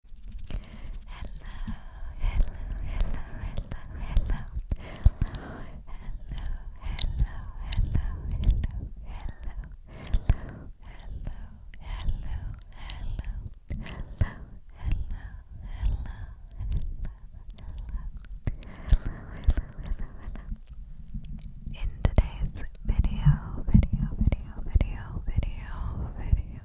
hello, hello, hello, hello, hello, hello, hello, hello, hello, hello, hello, hello, hello, hello, hello, hello, hello, hello, in today's video, video, video, video, video, video,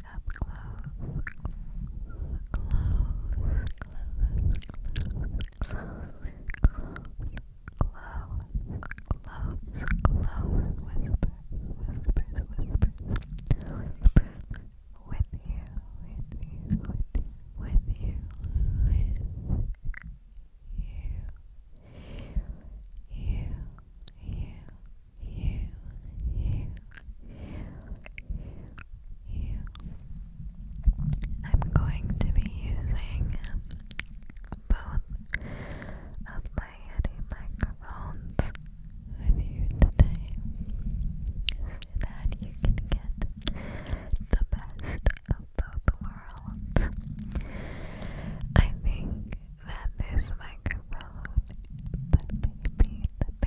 very up close, close, close, close, close, close, close, whispers, whispers, whispers, whispers. With you, with you, with you, with you, with you, you, you, you, you, you. I'm going to be using both of my Yeti microphones with you today so that you can get the best of both worlds. I think that this microphone, the baby, the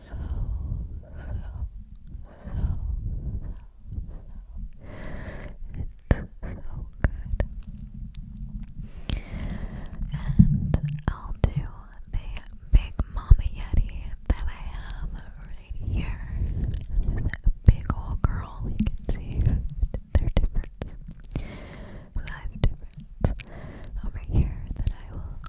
good. And I'll do the big mama yeti that I have right here. This big old girl, you can see they're different. Size difference over here that I will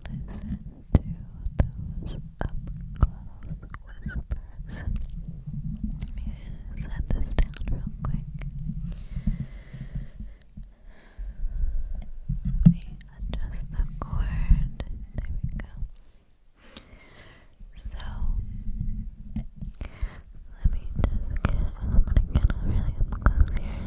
listen to those up close Let me set this down real quick. Let me adjust the cord. There we go. So let me just get I'm really up close here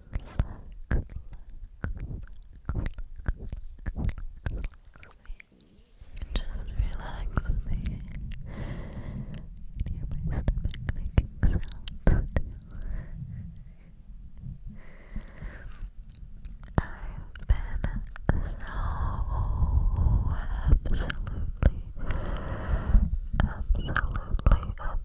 just relax me. I hear my stomach making sounds I've been so absolutely, absolutely obsessed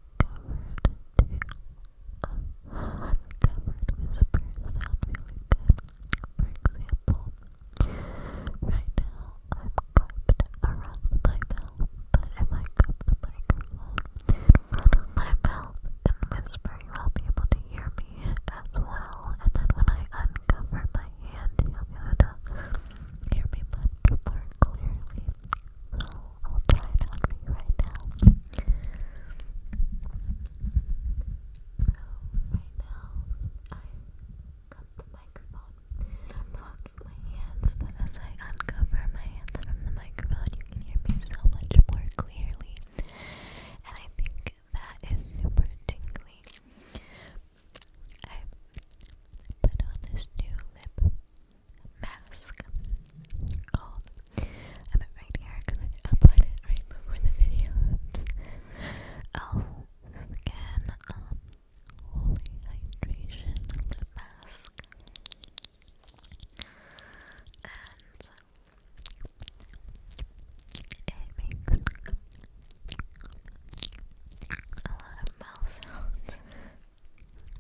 uncovered whispers sound really good. For example, right now I've cupped around my mouth, but if I cup the microphone in front of my mouth and whisper, you will be able to hear me as well. And then when I uncover my hand, you'll be to hear me much more clearly i I'll try it on for you right now. right now, I cut the microphone. I'm blocking my hands, but as I uncover my hands from the microphone, you can hear me so much more clearly. And I think that is super tingly. I put on this new lip mask called. I have right here because I applied it right before the video. Elf Skin um, Hydration Mask. And um, it makes a lot of mouth sounds.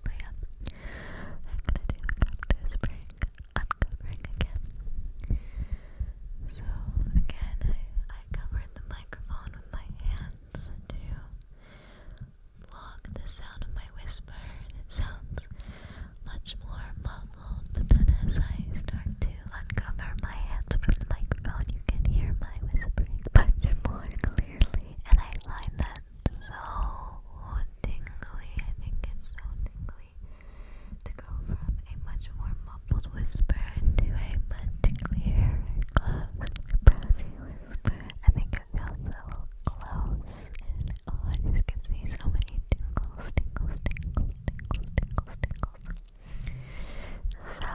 But yeah, I'm gonna do a cactus spring uncovering again. So again, I, covered the microphone with my hands to block the sound of my whisper, and it sounds much more muffled. But as I start to uncover my hands from the microphone, you can hear my whispering much more clearly. And I find that so tingly, I think it's so tingly to go from a much more mumbled whisper to a much clearer, close, breathy whisper. I think it feels so close and oh, it just gives me so many tingles, tingles, tingles, tingles, tingles. So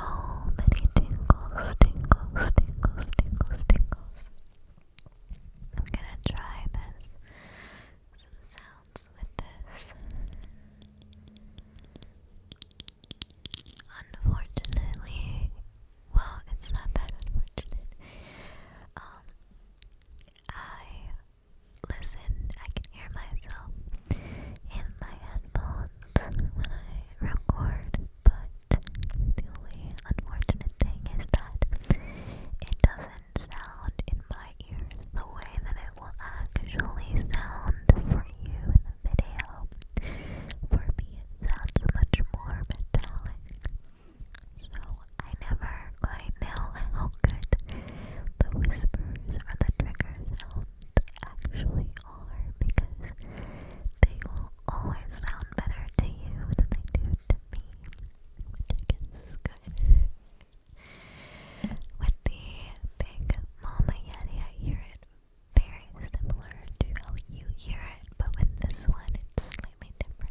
many tingles, tingles, tingles, tingles, tingles. I'm gonna try this. Some sounds with this. Unfortunately, well, it's not that unfortunate. Um, I listen, I can hear myself in my headphones when I record, but the only unfortunate thing is that it doesn't sound in my ears the way that it will actually sound for you in the video. For me, it sounds much more metallic. So I never quite know how good the whispers or the trigger sounds actually are because they will always sound better to you than they do to me, which is good. With the Big Mama Yeti, I hear it very similar to how you hear it, but with this one, it's slightly different.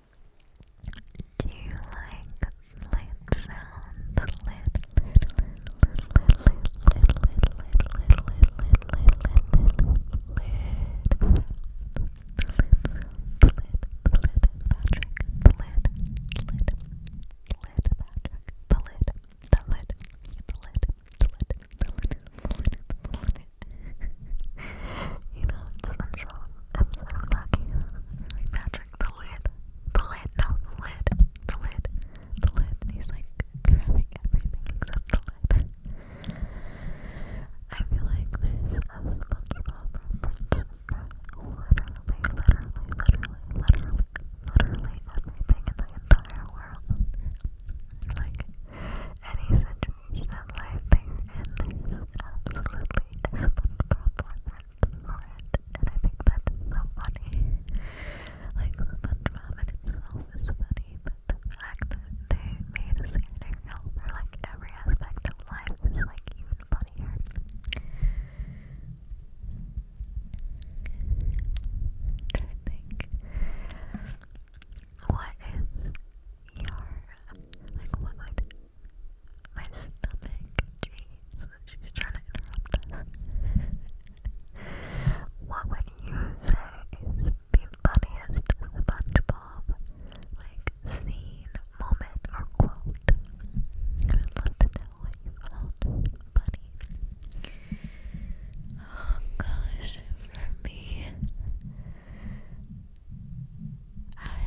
Do you like lid sounds? Lid, lid, lid, lid, lid, lid, lid, lid, lid, lid, lid, lid, lid, lid, lid. You know, it's I'm so, I'm so lucky. Patrick the lid, the lid, no, the lid, the lid, the lid, and he's like grabbing everything except the lid. I feel like there's a SpongeBob reference for literally, literally, literally, literally, literally everything in the entire world. Like, any situation in life they're in, absolutely for it, and I think that's so funny. Like, SpongeBob in itself is funny, but the fact that they made a scenario for like every aspect of life is like even funnier. I think. What is your like? What my stomach. Jeez, she's trying to interrupt us. what would you say is the funniest SpongeBob like scene, moment, or quote? I would love know what you found funny. Oh gosh, for me, I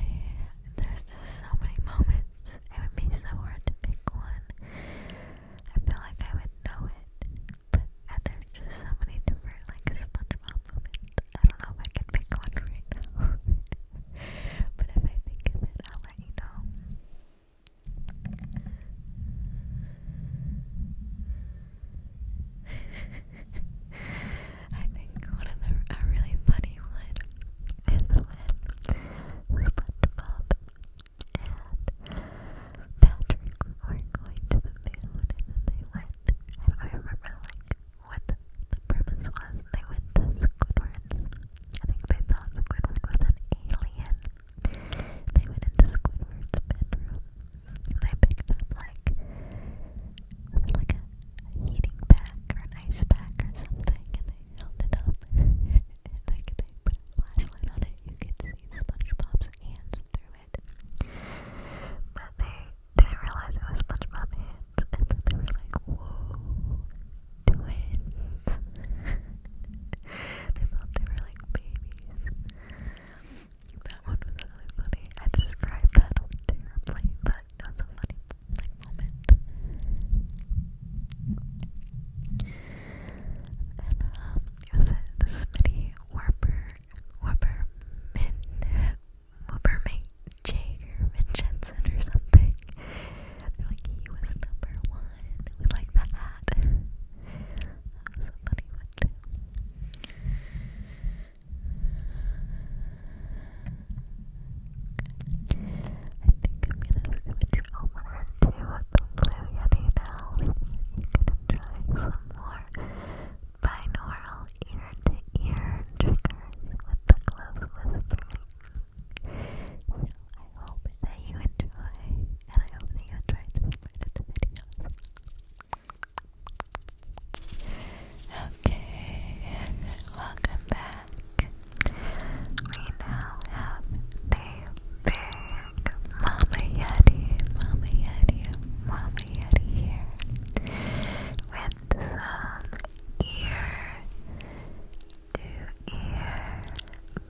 there's just so many moments it would be so hard to pick one. I feel like I would know it, but uh, there's just so many different, like, SpongeBob moments. I don't know if I can pick one right now. but if I think of it, I'll let you know. I think one of the really funny one SpongeBob, and Patrick were going to the moon, and they went, I remember, like, what the, the was, they went to Squidward's, I think they thought Squidward was an alien, they went into Squidward's bedroom, and they picked up, like, like a, heating pack, or an ice pack, or something, held it up, and they put a flashlight on it, you could see SpongeBob's hands through it. But they didn't realize it was SpongeBob's hands, and so they were like, whoa, twins. they thought they were like babies. That one was really funny. I described that terribly, but thought that a funny moment. And um, it was a, the Smitty Warper Warper Min Warper Jager Jensen or something. like he was number one. We like that hat. That a funny one gonna switch over to the Blue Yeti now. You can try some more binaural ear to ear triggers with the close whispering. So I hope that you enjoy, and I hope that you enjoyed this part of the video. Okay, welcome back back. We now have the big Mama Yeti, Mama Yeti, Mama Yeti here with some ear to ear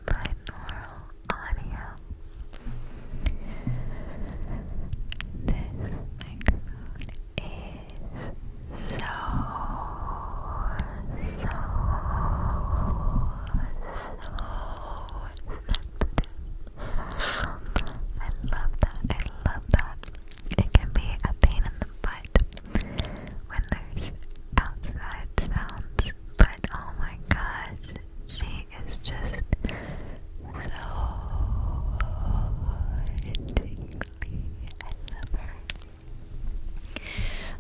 binaural audio. This microphone is so, so, so sensitive. I love that. I love that. It can be a pain in the butt when there's outside sounds, but oh my gosh, she is just so tingly. I love her.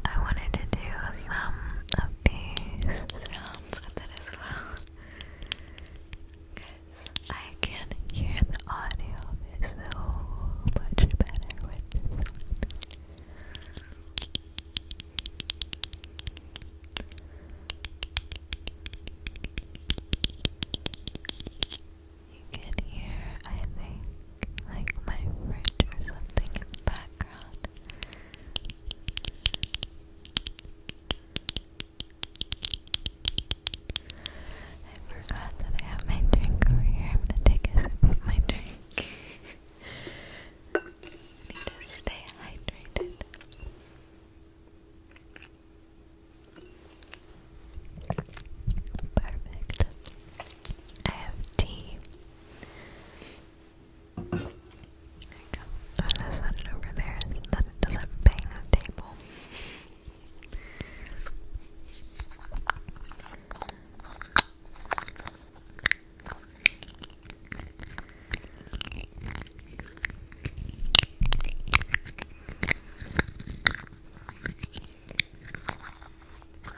I wanted to do some of these sounds with it as well. Because I can hear the audio so much better with you can hear, I think, like my fridge or something in the background. I forgot that I have my drink over here. I'm gonna take a sip of my drink. need to stay hydrated. Perfect. I have tea. you I'm gonna set it over there so that it doesn't bang the table think that sounds good. I'm gonna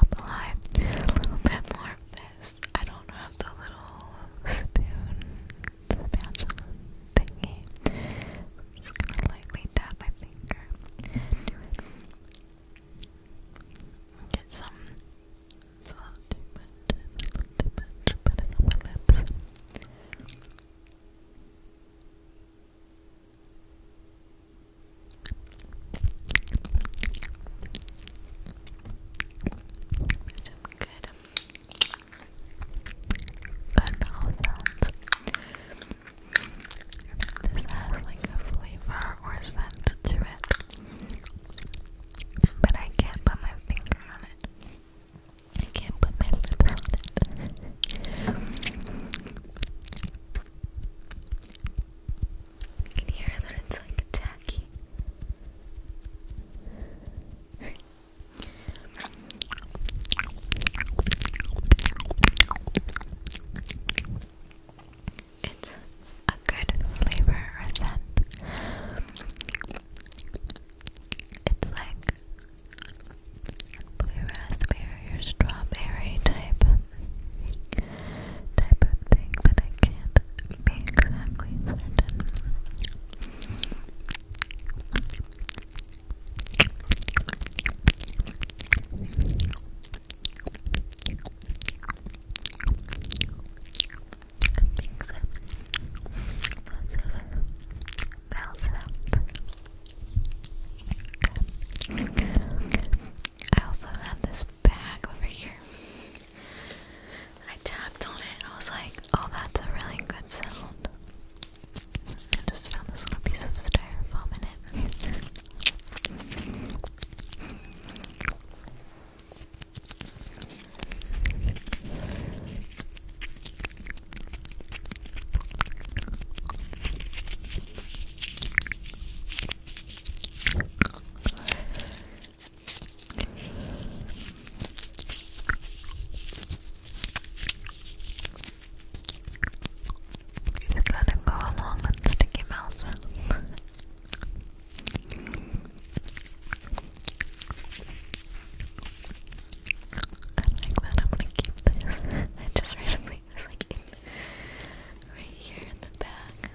apply a little bit more of this. I don't have the little spoon the spatula thingy. just gonna lightly tap my finger Get some. It's a little too much. too much. Put it on my lips. There's some good good mouth sounds. This has like a flavor or scent to it, but I can't put my finger on it. I can't put my lips on it. you can hear that it's like tacky. It's a good flavor scent. It's like blue raspberry or strawberry type type of thing, but I can't be exactly certain. I also have this bag over here. I tapped on it I was like, oh, that's a really good sound. I just found this little piece of styrofoam in it. Just kind of go along with Sticky Mouse. I like that. I'm gonna keep this. I just randomly was like right here in the bag.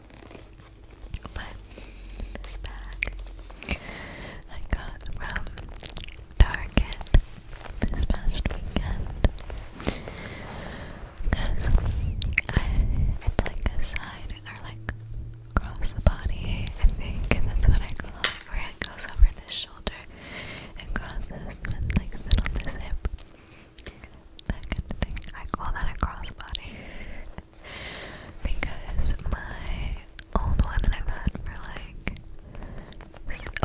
But this bag I got from Target this past weekend. Because it's like a side or like across the body, I think, that's what I call it, where it goes over this shoulder and crosses like sit on this hip. That kind of thing. I call that a crossbody because my old one that I've had for like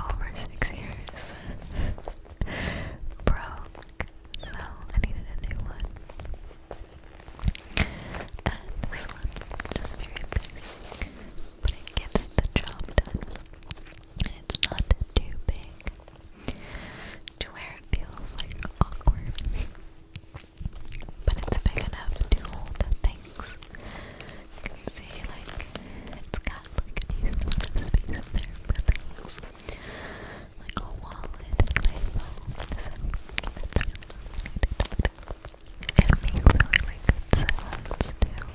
over six years broke, so I needed a new one. And this one just very basic, but it gets the job done. And it's not too big to where it feels like awkward. But it's big enough to hold a things. You see, like, it's got like a decent amount of things. Like a wallet and my phone. So that's really It makes really good silence too.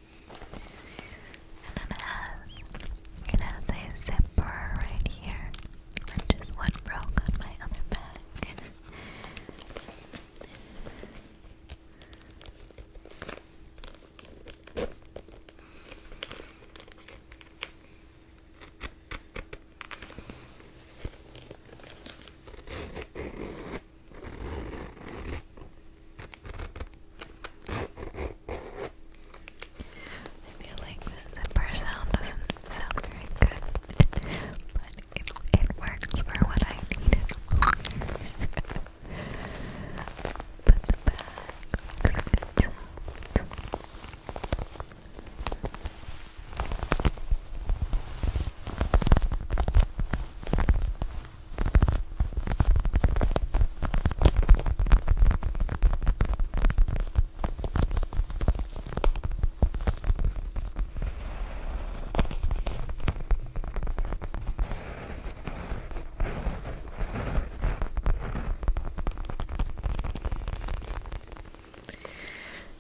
And it has, it has a zipper right here, which is what broke on my other bag. I feel like the zipper sound doesn't sound very good, but it, it works for what I needed. but the bag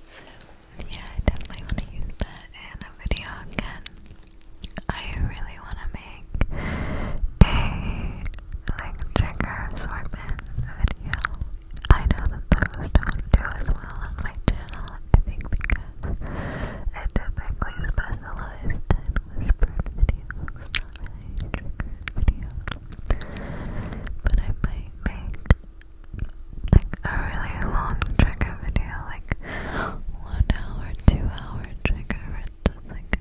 so, yeah, I definitely want to use that in a video again. I really really want to make a like trigger assortment video. I know that those don't do as well on my channel, I think because I typically specialize in whispered videos, not really videos. But I might make like a really long trigger video, like one hour, two hour trigger, just like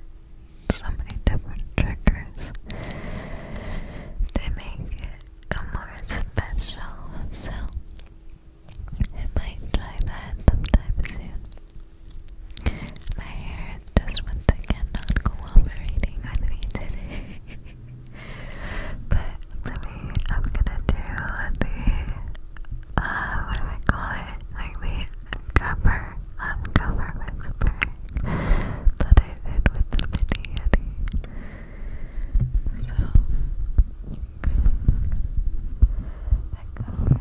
so many different triggers They make it a more special. So I might try that sometime soon. My hair is just once again not cooperating with today. but maybe I'm gonna do the uh what do I call it? Like uncover, uncover whisper that I did with the mini Yeti. So, I cover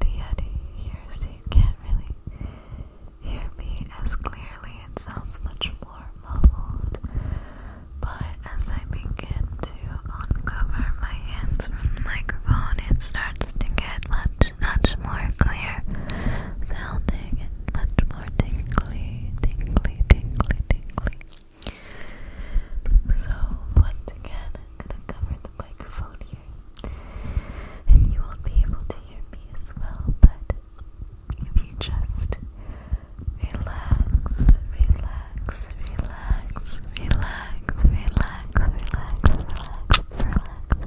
the Yeti here so can't really hear me as clearly. It sounds much more muffled. But as I begin to uncover my hands from the microphone, it starts to get much much, more clear sounding and much more tingly, tingly, tingly, tingly. So, once again, I'm gonna cover the microphone here, and you will be able to hear me as well, but if you just relax, relax, relax, relax, relax, relax, relax, relax, relax,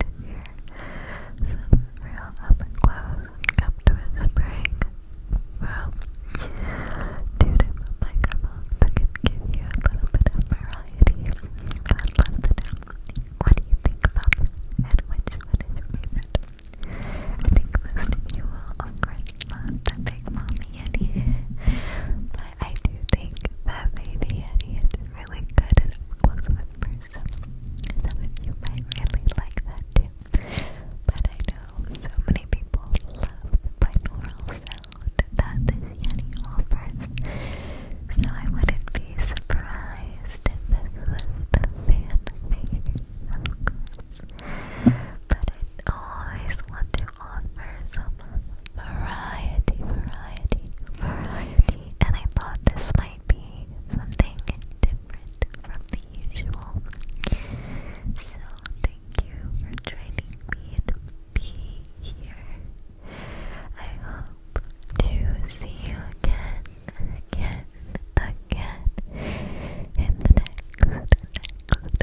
to hear some real up and close come to whispering from two different microphones that can give you a little bit of variety. I would love to know what do you think and which one is your favorite. I think most of you Big Mommy Yeti, but I do think that maybe Yeti really good and close with person. Some you might really like that too. But I know so many people love the binaural sound that this Yeti offers. So I wouldn't be surprised if this was the fan favorite, of course. But I always want to offer some variety, variety, variety. And I thought this might be something different from the usual. So thank you for joining me and be here. I hope to see you again, again, again in the next, next